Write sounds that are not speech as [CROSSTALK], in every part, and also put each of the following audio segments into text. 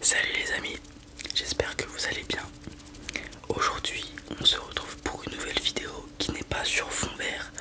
Salut les amis, j'espère que vous allez bien. Aujourd'hui, on se retrouve pour une nouvelle vidéo qui n'est pas sur fond vert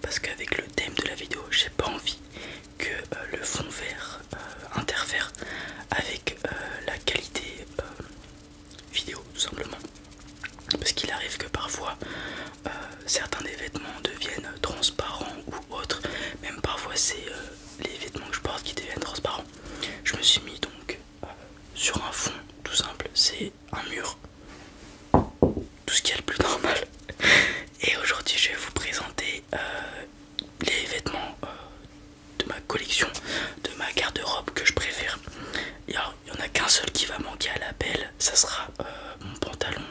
parce qu'avec le thème de la vidéo, j'ai pas envie que euh, le fond vert euh, interfère avec euh, la qualité vidéo tout simplement. Parce qu'il arrive que parfois certains des vêtements deviennent transparents ou autres, même parfois c'est les vêtements que je porte qui deviennent transparents. Je me suis mis donc euh, sur un fond tout simple, c'est un mur, tout ce qui est le plus normal. [LAUGHS] Et aujourd'hui, je vais vous présenter euh, les vêtements euh, de ma collection, de ma garde-robe que je préfère. il n'y en a qu'un seul qui va manquer à l'appel, ça sera mon pantalon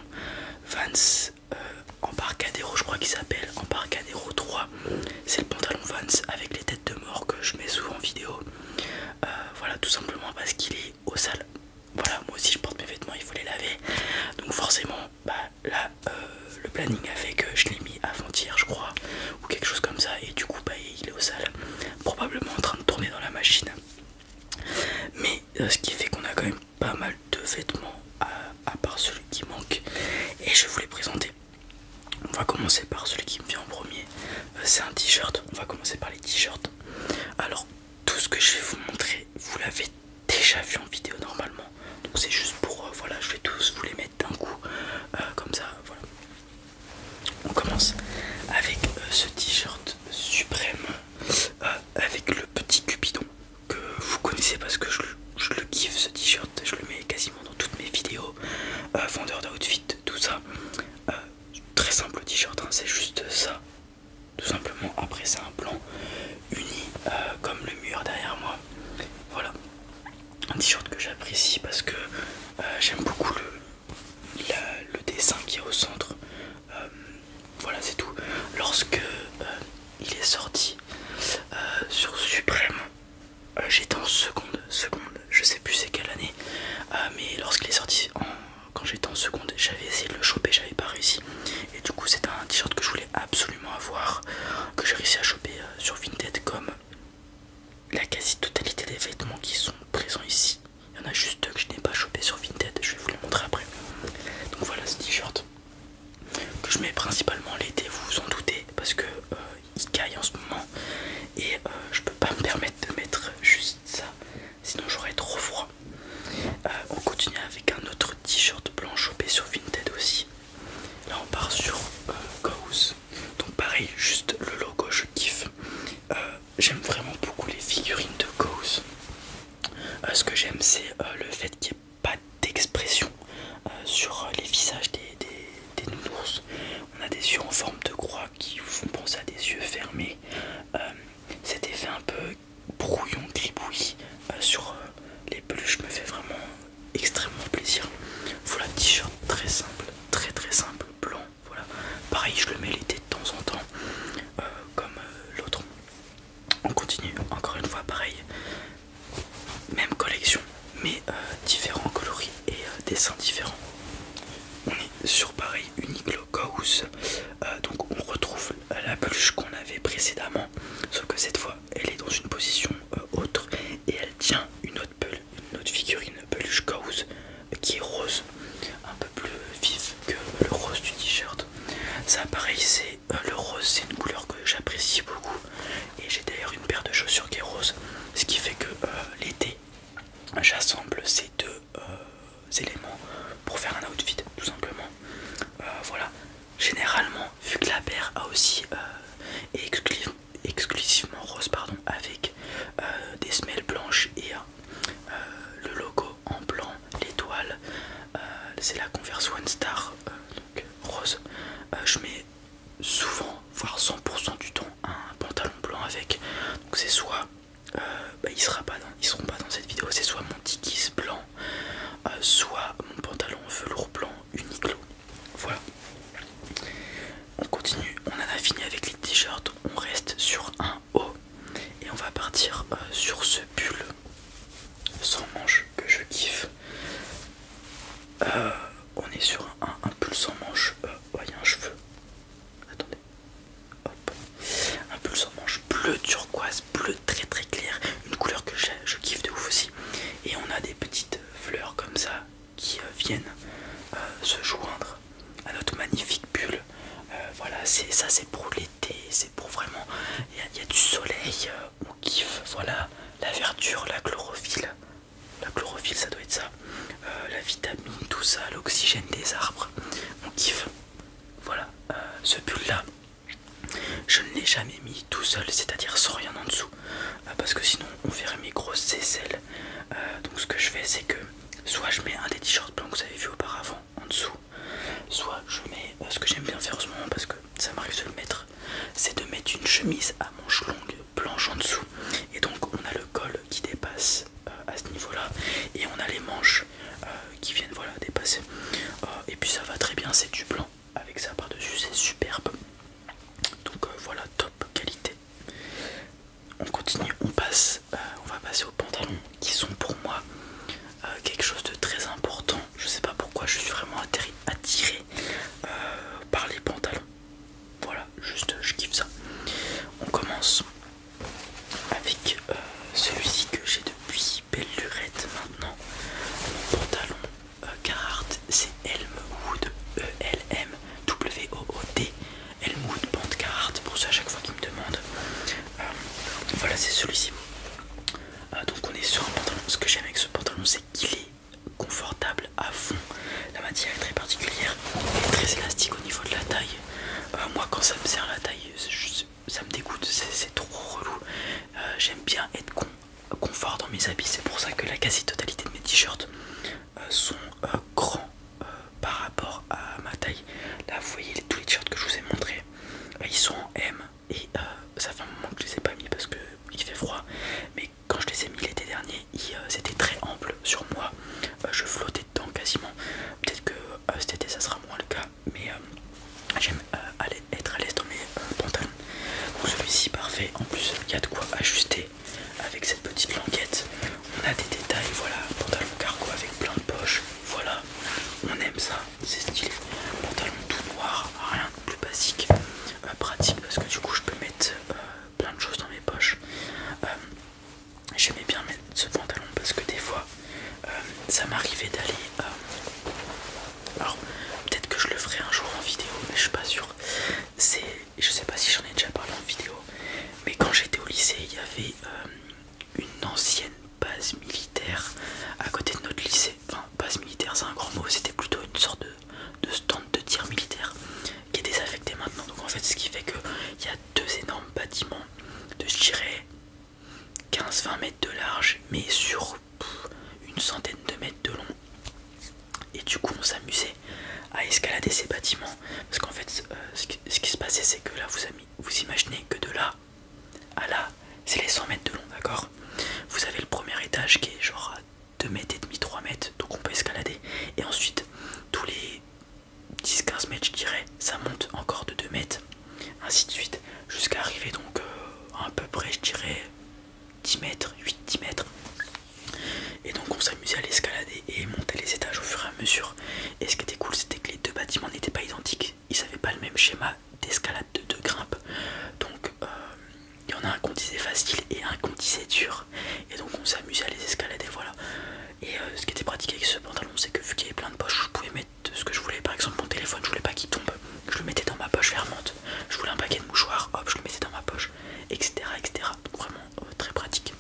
Vans en euh, parcadéro, Embarcadero, je crois qu'il s'appelle Embarcadero 3. C'est le pantalon Vans avec les têtes de mort que je mets souvent en vidéo. Euh, voilà, tout simplement parce qu'il est au sale. Voilà, moi aussi je porte mes vêtements, il faut les laver. Donc forcément, bah, là, euh, le planning a fait que je l'ai mis avant-hier, je crois, ou quelque chose comme ça. Et du coup, bah, il est au sale, probablement en train de tourner dans la machine. Mais ce qui fait qu'on a quand même pas mal deux vêtements à, part celui qui manque et je vais vous les présenter. On va commencer par celui qui me vient en premier, euh, c'est un t-shirt. On va commencer par les t-shirts. Alors tout ce que je vais vous montrer, vous l'avez déjà vu en vidéo normalement. Donc c'est juste pour euh, voilà, je vais tous vous les mettre d'un coup euh, comme ça. Voilà. On commence avec ce t-shirt suprême avec le petit cupidon que vous connaissez parce que je, le kiffe ce t-shirt, je le mets quasiment dans toutes mes vidéos, euh, vendeur d'outfit, tout ça. Euh, très simple t-shirt, hein, c'est juste ça. Tout simplement, après c'est un plan uni euh, comme le mur derrière moi. Voilà. Un t-shirt que j'apprécie parce que euh, j'aime beaucoup le, le dessin qui est au centre. voilà, c'est tout. Lorsque il est sorti euh, sur Suprême. Euh, j'étais en seconde, seconde, je sais plus c'est quelle année, euh, mais lorsqu'il est sorti, quand j'étais en seconde, j'avais essayé de le choper, j'avais pas réussi. Et du coup, c'est un t-shirt que je voulais absolument avoir, que j'ai réussi à choper sur Vinted, comme la quasi-totalité des vêtements qui sont présents ici. Il y en a juste deux que je n'ai pas chopé sur Vinted, je vais vous les montrer après. Donc voilà ce t-shirt que je mets principalement l'été, vous vous en doutez, parce que euh, il caille en ce moment et euh, je peux pas me permettre de mettre juste ça, sinon j'aurais trop froid. Euh, on continue avec un autre t-shirt blanc chopé sur Vinted aussi. Là on part sur Ghost. Donc pareil, juste le logo, je kiffe. j'aime vraiment beaucoup les figurines de Ghost. ce que j'aime c'est le fait qu'il pas d'expression euh, sur les visages des, nounours. On a des yeux en forme de croix qui vous font penser à des yeux fermés. Euh, cet effet un peu brouillon, gribouillis euh, sur les peluches me fait vraiment extrêmement plaisir. Voilà, t-shirt très simple, très très simple, blanc. Voilà, pareil, je le mets l'été de temps en temps, comme l'autre. On continue, encore une fois, pareil, même collection, mais euh, différents coloris et euh, dessins différents. On est sur pareil unique locaux euh, donc on retrouve la peluche qu'on avait précédemment, sauf que cette fois elle est dans une position autre et elle tient une autre, peluche, une autre figurine peluche cause qui est rose, un peu plus vive que le rose du t-shirt. Ça pareil c'est euh, le rose c'est une couleur que j'apprécie beaucoup et j'ai d'ailleurs une paire de chaussures qui est rose ce qui fait que euh, l'été j'assemble ces deux euh, éléments pour faire un outfit tout simplement voilà généralement vu que la paire a aussi exclusivement rose pardon avec des semelles blanches et le logo en blanc l'étoile c'est la Converse One Star rose je mets souvent, voire 100% du temps, un pantalon blanc avec. Donc c'est soit, euh, bah, ils, sera seront pas dans cette vidéo, c'est soit mon tigis blanc, euh, soit mon pantalon velours blanc Uniqlo. Voilà. On continue, on en a fini avec les t-shirts, on reste sur un haut et on va partir euh, sur ce pull sans manches que je kiffe. Euh, on est sur un, pulse en manche. Euh, un cheveu. Attendez. Hop. Un pulse en manche bleu turquoise, bleu très très clair. Une couleur que je kiffe de ouf aussi. Et on a des petites fleurs comme ça qui euh, viennent se joindre à notre magnifique bulle. Voilà. voilà, ça c'est pour l'été, c'est pour vraiment. Il y a du soleil, on kiffe, voilà, la verdure, la chlorophylle, la chlorophylle ça doit être ça, euh, la vitamine, tout ça, l'oxygène des arbres, on kiffe. Voilà, euh, ce pull là, je ne l'ai jamais mis tout seul, c'est-à-dire sans rien en dessous, euh, parce que sinon on verrait mes grosses aisselles. donc ce que je fais c'est que soit je mets un des t-shirts blancs que vous avez vu auparavant en dessous, soit je mets ce que j'aime bien faire en ce moment parce que ça m'arrive de le mettre, c'est de mettre une chemise à manches longues blanche en dessous et donc on a le col qui dépasse euh, à ce niveau là et on a les manches euh, qui viennent voilà dépasser euh, et puis ça va très bien c'est du blanc avec ça par dessus c'est superbe donc voilà top qualité on continue on passe on va passer aux pantalons qui sont pour moi quelque chose de très important je sais pas pourquoi je suis vraiment attiré euh, par les pantalons. Voilà, juste je kiffe ça. On commence avec euh, celui-ci que j'ai depuis belle lurette maintenant. Mon pantalon euh, Carhartt, c'est Elmwood e E-L-M-W-O-O-D. Elmwood Band pour ça à chaque fois qu'il me demande voilà, c'est celui-ci. donc on est sur un pantalon. Ce que j'aime avec ce pantalon, c'est qu'il est confortable à fond. La matière est très particulière très élastique au niveau de la taille. Euh, moi, quand ça me sert la taille, ça me dégoûte, c'est trop relou. Euh, j'aime bien être con, confort dans mes habits, c'est pour ça que la quasi-totalité de mes t-shirts euh, sont grands par rapport à ma taille. Là, vous voyez tous les t-shirts que je vous ai montrés, ils sont en M, et euh, ça fait un moment que je les ai pas mis parce que il fait froid mais quand je les ai mis l'été dernier ils euh, étaient très amples sur moi euh, je flottais dedans quasiment peut-être que cet été ça sera moins le cas mais j'aime être à l'aise dans mes pantalons celui-ci parfait en plus il y a de quoi ajuster avec cette petite languette on a des détails voilà pantalon cargo avec plein de poches voilà on aime ça c'est stylé pantalon tout noir rien de plus basique euh, pratique parce que du coup je peux mettre euh, plein de choses dans mes poches. Euh, j'aimais bien mettre ce pantalon parce que des fois ça m'arrivait d'aller... alors peut-être que je le ferai un jour en vidéo mais je suis pas c'est Je sais pas si j'en ai déjà parlé en vidéo mais quand j'étais au lycée il y avait une ancienne base militaire à côté de notre lycée. Enfin base militaire c'est un grand mot, c'était plutôt une sorte de de stands de tir militaire qui est désaffecté maintenant. Donc en fait, ce qui fait qu'il y a deux énormes bâtiments de je 15-20 mètres de large, mais sur une centaine de mètres de long. Et du coup, on s'amusait à escalader ces bâtiments parce qu'en fait, euh, ce, qui, se passait, c'est que là, vous, vous imaginez que de là à là, c'est les 100 mètres de long, d'accord Vous avez le premier étage qui est genre 2 mètres et demi, 3 mètres, donc on peut escalader. Et ensuite, tous les 10-15 mètres, je dirais, ça monte encore de 2 mètres, ainsi de suite, jusqu'à arriver donc euh, à peu près, je dirais, 10 mètres, 8-10 mètres. Et donc on s'amusait à l'escalader et monter les étages au fur et à mesure. Et ce qui était cool, c'était que les deux bâtiments n'étaient pas identiques, ils n'avaient pas le même schéma d'escalade de, deux grimpe. Donc euh, il y en a un qu'on disait facile et un qu'on disait dur. Et donc on s'amusait à les escalader, voilà. Et euh, ce qui était pratique avec ce pantalon, c'est que vu qu'il y avait plein de poches, je pouvais mettre ce que je voulais. Par exemple, mon téléphone, je voulais pas qu'il tombe. Je le mettais dans ma poche fermante. Je voulais un paquet de mouchoirs, hop, je le mettais dans ma poche, etc. etc. vraiment euh, très pratique.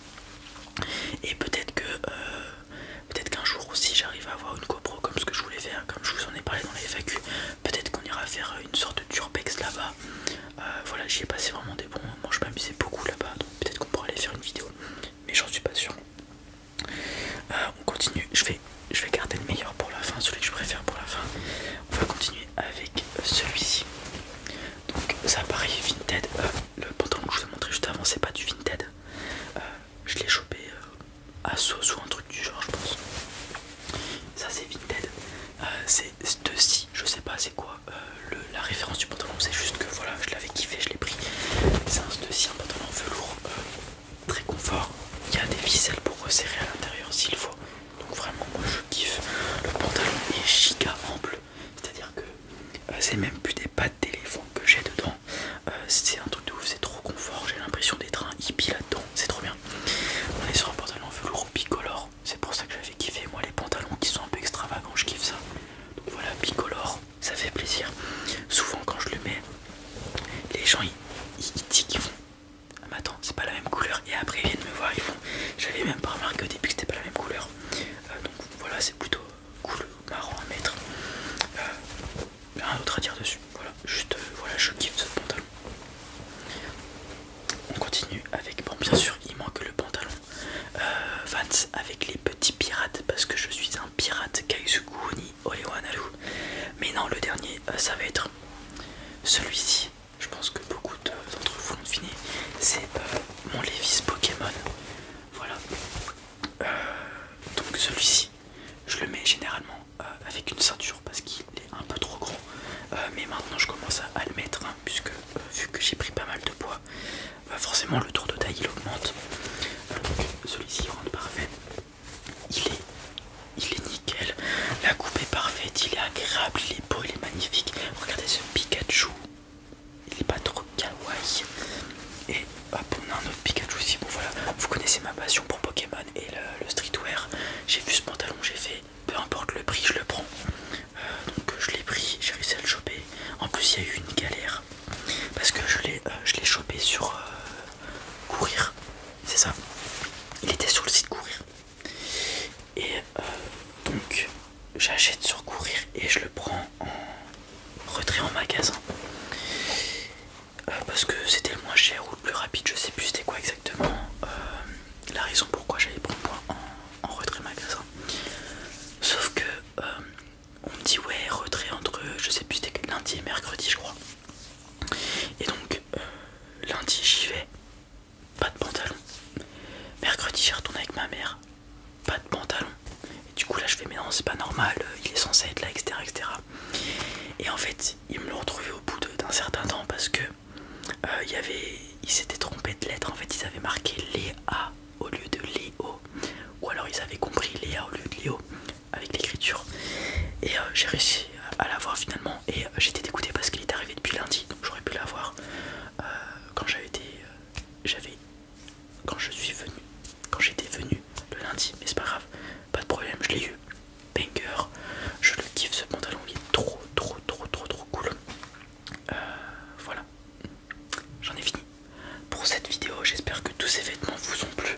Et peut-être que euh, peut-être qu'un jour aussi j'arrive à avoir une GoPro comme ce que je voulais faire, comme je vous en ai parlé dans les FAQ. Peut-être qu'on ira faire une sorte de turbex là-bas. Euh, voilà, j'y ai passé vraiment des bons moments. Je m'amusais beaucoup là-bas, donc peut-être qu'on pourra aller faire une vidéo, mais j'en suis pas sûr. Euh, on continue. Je vais, garder le meilleur pour la fin, celui que je préfère pour la fin. On va continuer avec celui-ci. Donc ça pareil Vinted, euh, le pantalon que je vous ai montré juste avant c'est pas du Vinted, je l'ai chopé à sauce ou un truc du genre je pense. Ça c'est Vinted, euh, c'est ceci je sais pas c'est quoi euh, la référence du pantalon, c'est juste que voilà, je l'avais kiffé, je l'ai pris. C'est un pantalon velours euh, très confort. Il y a des ficelles pour resserrer à l'intérieur s'il faut. Donc vraiment, moi je kiffe. Le pantalon est giga ample, c'est-à-dire que c'est même plus des pattes d'éléphant que j'ai dedans. c'est un truc de ouf, c'est trop confort. J'ai l'impression d'être un hippie là-dedans, c'est trop bien. On est sur un pantalon velours bicolore, c'est pour ça que j'avais kiffé. Moi, les pantalons qui sont un peu extravagants, je kiffe ça. Donc voilà, bicolore, ça fait plaisir. Souvent, quand je le mets, les gens ils, disent ah, mais attends, c'est pas la même couleur. Et après, ils viennent me voir, ils font. J'avais même pas remarqué au début que c'était pas la même couleur. Euh, donc voilà, c'est plutôt cool, marrant à mettre. Euh, un rien d'autre à dire dessus. Voilà, juste euh, voilà, je kiffe ce pantalon. On continue avec, bon bien sûr il manque le pantalon euh, Vans avec les petits pirates parce que je suis un pirate Kaizuku ni Olewanalu Mais non le dernier euh, ça va être celui-ci. Je pense que beaucoup d'entre vous l'ont deviné. C'est euh, mon Levis Pokémon. Voilà. donc celui-ci, je le mets généralement euh, avec une ceinture parce qu'il est un peu trop gros euh, mais maintenant je commence à, le mettre hein, puisque euh, vu que j'ai pris pas mal de poids bah, forcément le tour de taille il augmente celui-ci rentre parfait il est il est nickel la coupe est parfaite il est agréable il est beau il est magnifique regardez ce Pikachu il est pas trop kawaii et hop on a Pikachu aussi voilà vous connaissez ma passion pour Pokémon et le, le streetwear j'ai vu ce pantalon j'ai fait peu importe le prix, je le prends. Euh, donc je l'ai pris, j'ai réussi à le choper. En plus, il y a eu une galère parce que je l'ai euh, l'ai chopé sur euh, Courir, c'est ça. Il était sur le site Courir. Et donc j'achète sur Courir et je le prends en retrait en magasin. parce que c'était le moins cher ou le plus rapide, je sais plus c'était quoi exactement la raison pourquoi j'allais prendre point en, retrait magasin. Sauf que euh, on me dit ouais retrait entre je sais plus c'était lundi et mercredi je crois. Et donc euh, lundi j'y vais, pas de pantalon. Mercredi je retourne avec ma mère, pas de pantalon. Et du coup là je fais mais non c'est pas normal, il est censé être là, etc. etc. Et en fait, ils me l'ont retrouvé au bout d'un certain temps parce que euh, il y avait, ils s'étaient trompés de lettres en fait, ils avaient marqué Léa au lieu de Léo, ou alors ils avaient compris Léa au lieu de Léo avec l'écriture. Et euh, j'ai réussi à l'avoir finalement, et euh, j'étais dégoûté parce qu'il est arrivé depuis lundi, donc j'aurais pu l'avoir quand j'avais été, j'avais, quand je suis venu, quand j'étais venu le lundi, mais c'est pas grave, pas de problème, je l'ai eu banger. Je le kiffe ce pantalon, il est trop trop trop trop trop cool. Euh, voilà, j'en ai fini pour cette vidéo. J'espère que tous ces vêtements vous ont plu.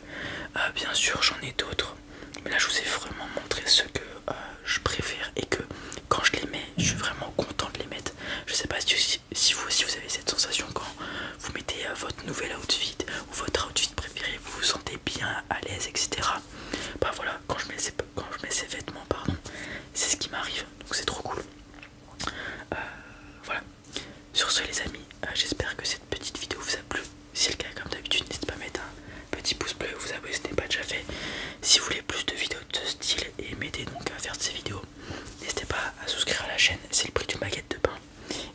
Euh, bien sûr, j'en ai d'autres, mais là je vous ai vraiment montré ce que euh, je préfère et que quand je les mets, je suis vraiment content de les mettre. Je sais pas si, vous avez cette sensation quand vous mettez votre nouvel outfit ou votre outfit préféré, vous vous sentez bien à l'aise, etc. Bah voilà, quand je mets ces, vêtements, pardon, c'est ce qui m'arrive, donc c'est trop cool. Euh, voilà. Sur ce les amis, euh, j'espère que cette petite vidéo vous a plu. Si c'est le cas, comme d'habitude, n'hésitez pas à mettre un petit pouce bleu, vous abonner si ce n'est pas déjà fait. Si vous voulez plus de vidéos de ce style et m'aider donc à faire ces vidéos, n'hésitez pas à souscrire à la chaîne, c'est le prix d'une baguette de pain.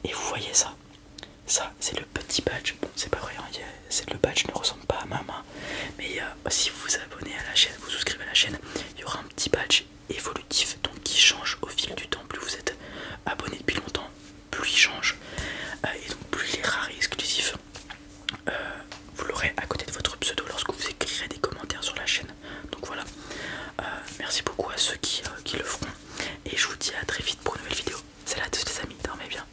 Et vous voyez ça, ça c'est le petit badge, bon c'est pas vrai, hein, le le badge ne ressemble pas à ma main. Mais euh, bah, si vous vous abonnez à la chaîne, vous souscrivez à la chaîne, il y aura un petit badge évolutif donc qui change au fil du temps. Plus vous êtes abonné depuis longtemps, plus il change. Euh, et donc plus il est rare et exclusif. Euh, vous l'aurez à côté de votre pseudo lorsque vous écrirez des commentaires sur la chaîne. Donc voilà. merci beaucoup à ceux qui, qui le feront. Et je vous dis à très vite pour une nouvelle vidéo. Salut à tous les amis, dormez bien.